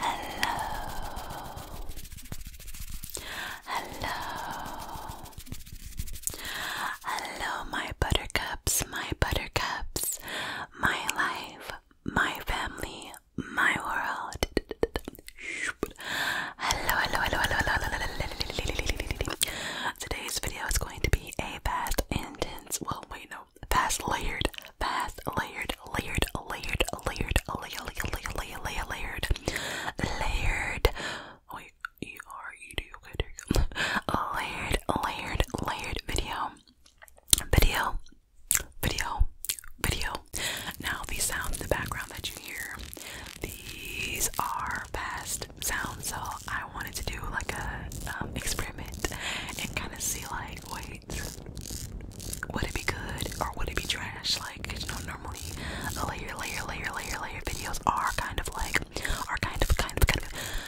Hello Hello Hello my buttercups my buttercups my life my family, my world. Hello, hello, hello, hello, hello, hello, hello. Today's video is going to be a fast, intense, well, wait, no, fast, layered, fast, layered, layered, layered, layered, layered, layered, layered, layered, layered, layered. Oh, wait, E R E D. Okay, there you go. Layered, layered, layered video. Video, video, video. Now these sounds in the background that you hear, these are fast sounds. So I wanted to do like a um, experiment and kind of see like, wait, would it be good or would it be trash? Like, cause you know, normally a layer, layer, layer, layer, layer videos are kind of like, are kind of, kind of, kind of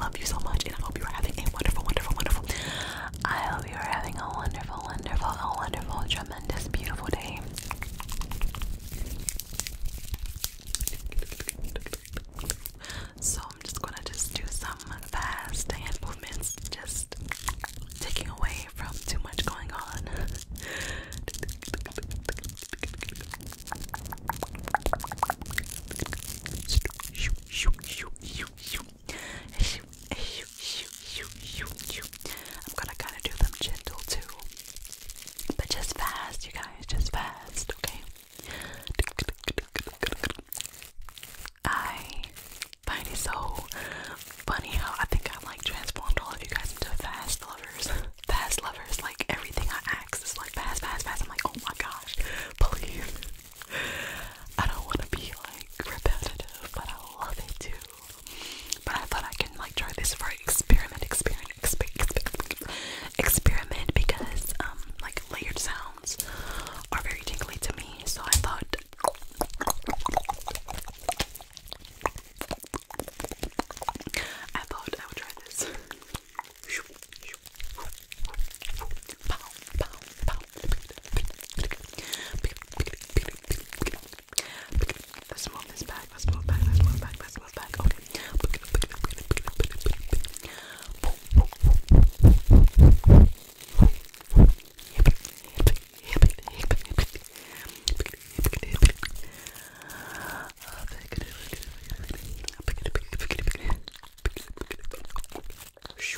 love you so much, and I hope you are having a wonderful, wonderful, wonderful. I hope you are having a wonderful, wonderful, a wonderful, tremendous, beautiful day. So I'm just gonna just do some fast hand movements, just taking away from too much going on. Shoot, shoot, shoot, shoot, shoot, I'm gonna kind of do them gentle too, but just fast, you guys, just fast, okay? I find it so funny how I think I like transformed all of you guys into fast lovers. Fast lovers, like everything I ask is like fast, fast, fast. I'm like, oh my gosh, please. I don't want to be like repetitive, but I love it too. But I thought I can like try this for experiment, experiment, experiment, experiment, because um like layered sounds are very tingly to me. So I thought. I thought I would try this. Let's move this back. Let's move back. Let's move back. Let's move back. Okay. Punch in the face, punch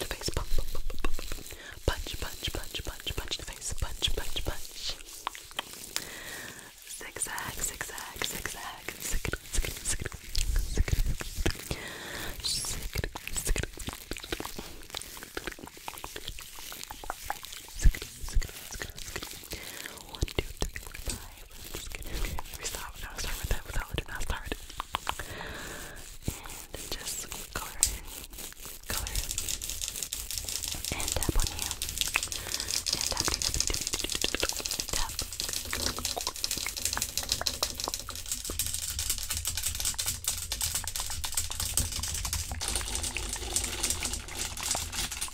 in the face, punch, punch, punch, punch, punch, punch, punch in the face, punch, punch, punch. Zigzag, zigzag, zigzag, zigzag, zigzag, zigzag, zigzag, zigzag. One, two, three, four, five. I'm just kidding. Okay, we stop. Now start with that without letting that start. And just color in, color in, and tap on you. And tap, tap, tap, tap, tap. Okay,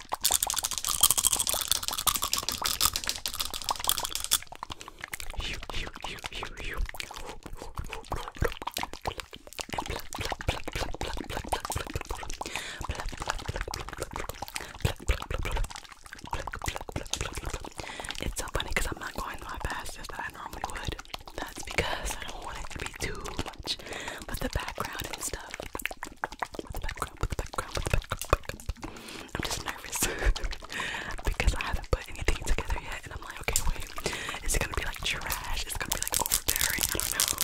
It's so funny because I'm not going my fastest as I normally would. That's because I don't want it to be too much. But the background and stuff. The background. I'm just nervous because I haven't put anything together yet, and I'm like, okay, wait, is it gonna be like trash? Is it gonna be like overbearing? I don't know.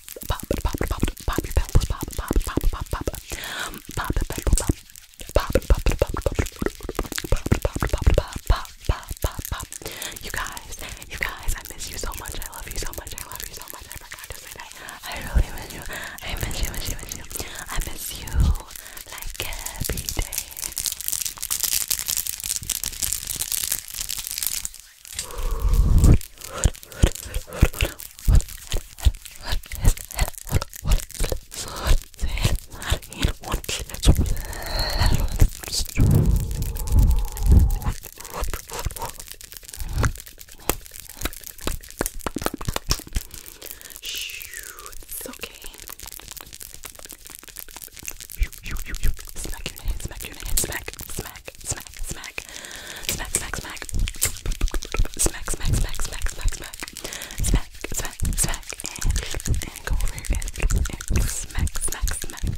You guys, you guys, I miss you so much. I love you so much. I love you so much. I forgot to say I really miss you. I miss you. Miss you. Miss you. I miss you like every day. It's okay. Smack your head, smack your head, smack, smack, smack, smack, smack, smack, smack, smack, smack, smack, smack, smack, smack, smack, smack, smack, and and go over here and smack, smack, smack, smack, smack, smack.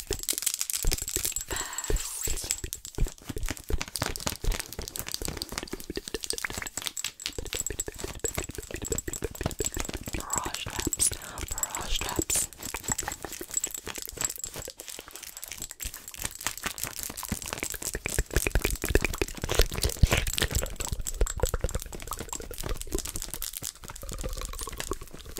first. Brush traps, brush traps. Cracky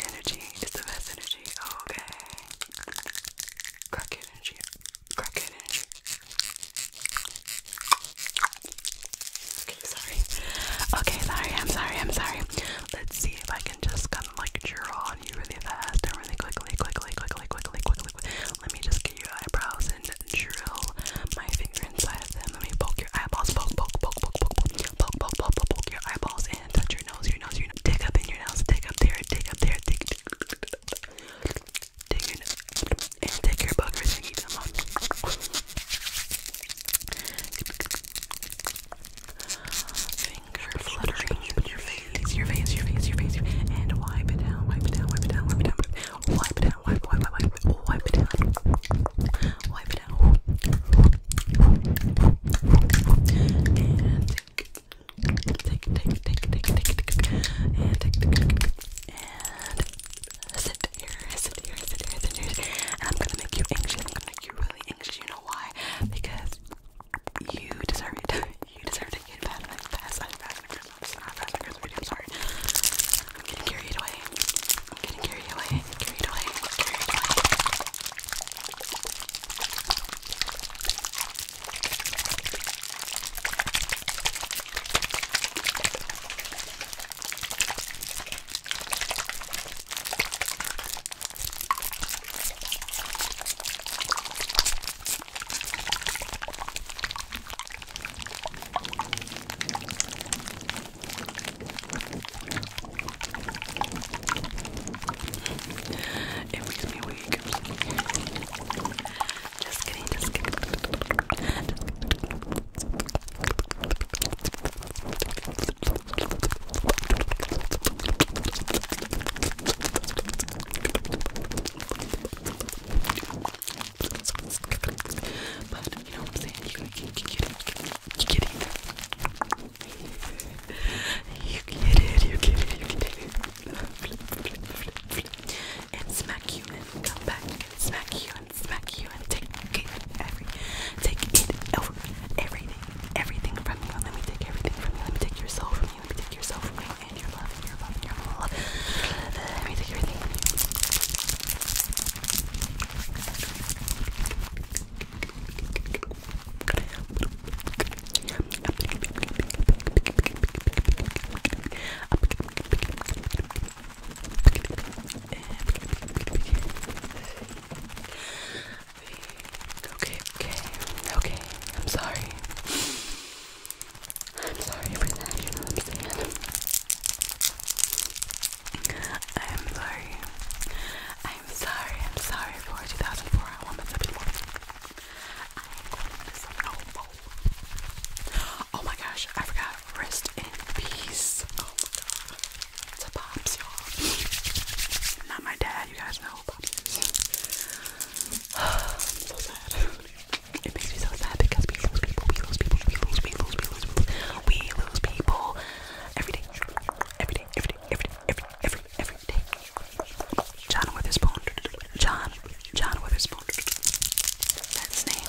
energy is the best energy. Okay. Cracky energy. Cracky energy. Okay, sorry. Okay, I'm sorry. I'm sorry. Let's see if I can just kind of like draw you really fast and really quickly, quickly, quickly, quickly, quickly, Let me just get your eyebrows and drill my finger inside of them. Let me poke your eyeballs, poke, poke, poke, poke, poke, poke, poke, poke, poke, your eyeballs and touch your nose, your nose, your nose. Dig up in your nose, dig up there, dig up there, dig, dig, dig your nose, and take your buggers and eat them up. Finger fluttering your face, your face, your face, your face, and wipe it down, wipe it down, wipe it down, wipe it down, wipe it down, wipe, wipe, wipe, wipe, wipe it down, wipe it down, and take, take, take, take, take, take, and take, and sit here, sit here, sit here, sit here, and I'm gonna make you anxious. I'm gonna make you really anxious. You know why? Because you deserve it. you deserve to get bad like fast like fast fingers. This is not fast fingers video, I'm sorry. I'm getting carried away. I'm getting carried away. Carried away. Carried away. It makes me weak. Just kidding, just kidding. Just kidding. But you know what I'm saying? You, you, you get it. You get it. You get it. You get it. You get it. And smack you and come back and smack you and smack you and take it every take it over everything everything from you. Let me take everything from you. Let me take your soul from you and take yourself away and your love and your love and your love. Let me take everything from you okay, okay, okay, I'm sorry. I'm sorry for that, you know what I'm I'm sorry. I'm sorry, I'm sorry for 2004. I want this every morning. Oh my gosh, I forgot. Rest in peace. Oh my god. It's a pops, y'all. Not my dad, you guys know. about It makes me so sad because we lose people, we lose people, we lose, we lose, we lose, we we lose people every day, every day, every day, every day, every every every day. John Witherspoon, John, John Witherspoon. That's his name.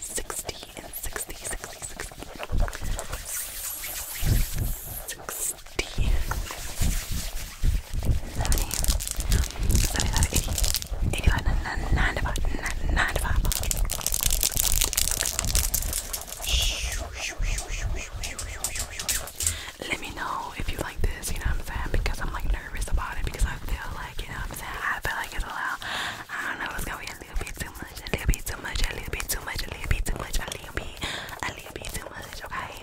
60, and 60, 60, Let me know if you like this, you know what I'm saying? Because I'm like nervous about it because I feel like, you know what I'm saying? I feel like it's a lot. I don't know, it's gonna be a little bit too much, a little bit too much, a little bit too much, a little bit too much, a little bit, a little bit too much, okay?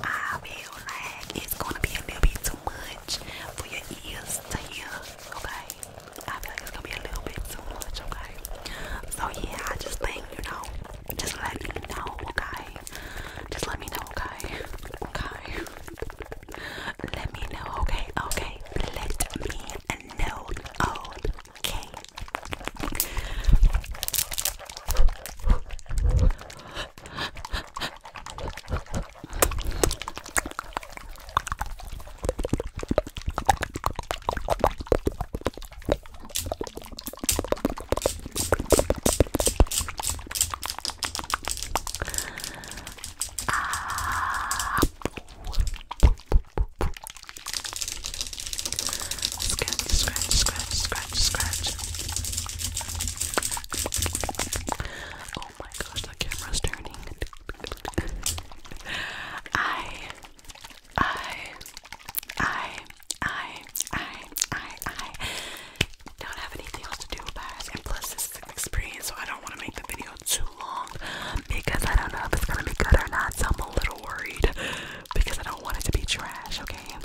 I feel like it's gonna be a little bit too much for your ears to hear, okay? I feel like it's gonna be a little bit too much, okay? So yeah, I just think, you know, just let me know, okay? Just let me know, okay? Okay. Let me know, okay, okay. Let me no, okay. Ah. Scratch, scratch, scratch, scratch, scratch. Oh my gosh, that camera's turning. I, I, I, I, I, I, I don't have anything else to do about it. And plus, this is an experience, so I don't want to make the video too long because I don't know if it's gonna be good or not. I'm a little worried because I don't want it to be trash, okay?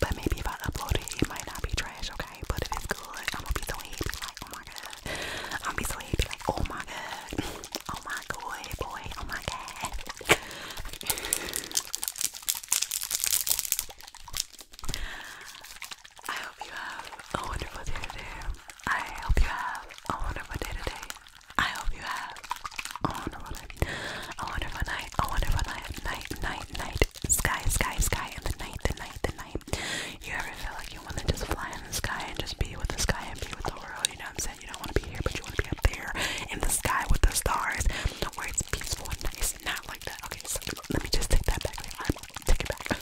But maybe if I upload it, it might not be trash, okay? But if it's good, I'm gonna be so happy, like, oh my god. I'm be so happy, like, oh my god. Oh my god, boy, oh my god. I hope you have a wonderful day today. I hope you have a wonderful day today. I hope you have a wonderful night, a wonderful night, a wonderful night, night, night, night, sky, sky, sky, and the night, the night, the night. You ever feel like you want to just fly in the sky and just be with the sky and be with the world? You know what I'm saying? You don't want to be here, but you want to be up there in the sky with the stars, where it's peaceful and nice, not like that. Okay, so let me just take that back. Right, take it back.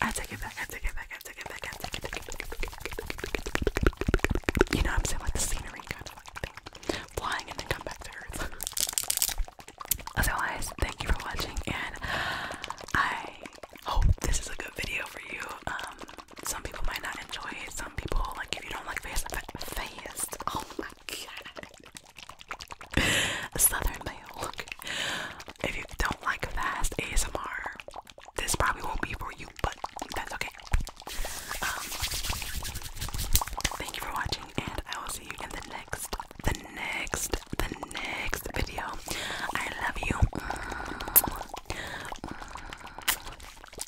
I take it back, I take it back, I take it back, I take it back. You know I'm saying? Like the scenery kind of like thing. Flying and then come back to earth. Otherwise, thank you for watching and I hope this is a good video for you. Um some people might not enjoy it, some people like if you don't like face fast. Oh my god. Southern mail. If you don't like fast ASMR, this probably won't be for you, but that's okay. Um, thank you for watching, and I will see you in the next, the next, the next video. I love you.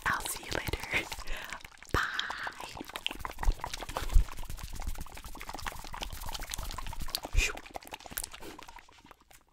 I'll see you later. Bye.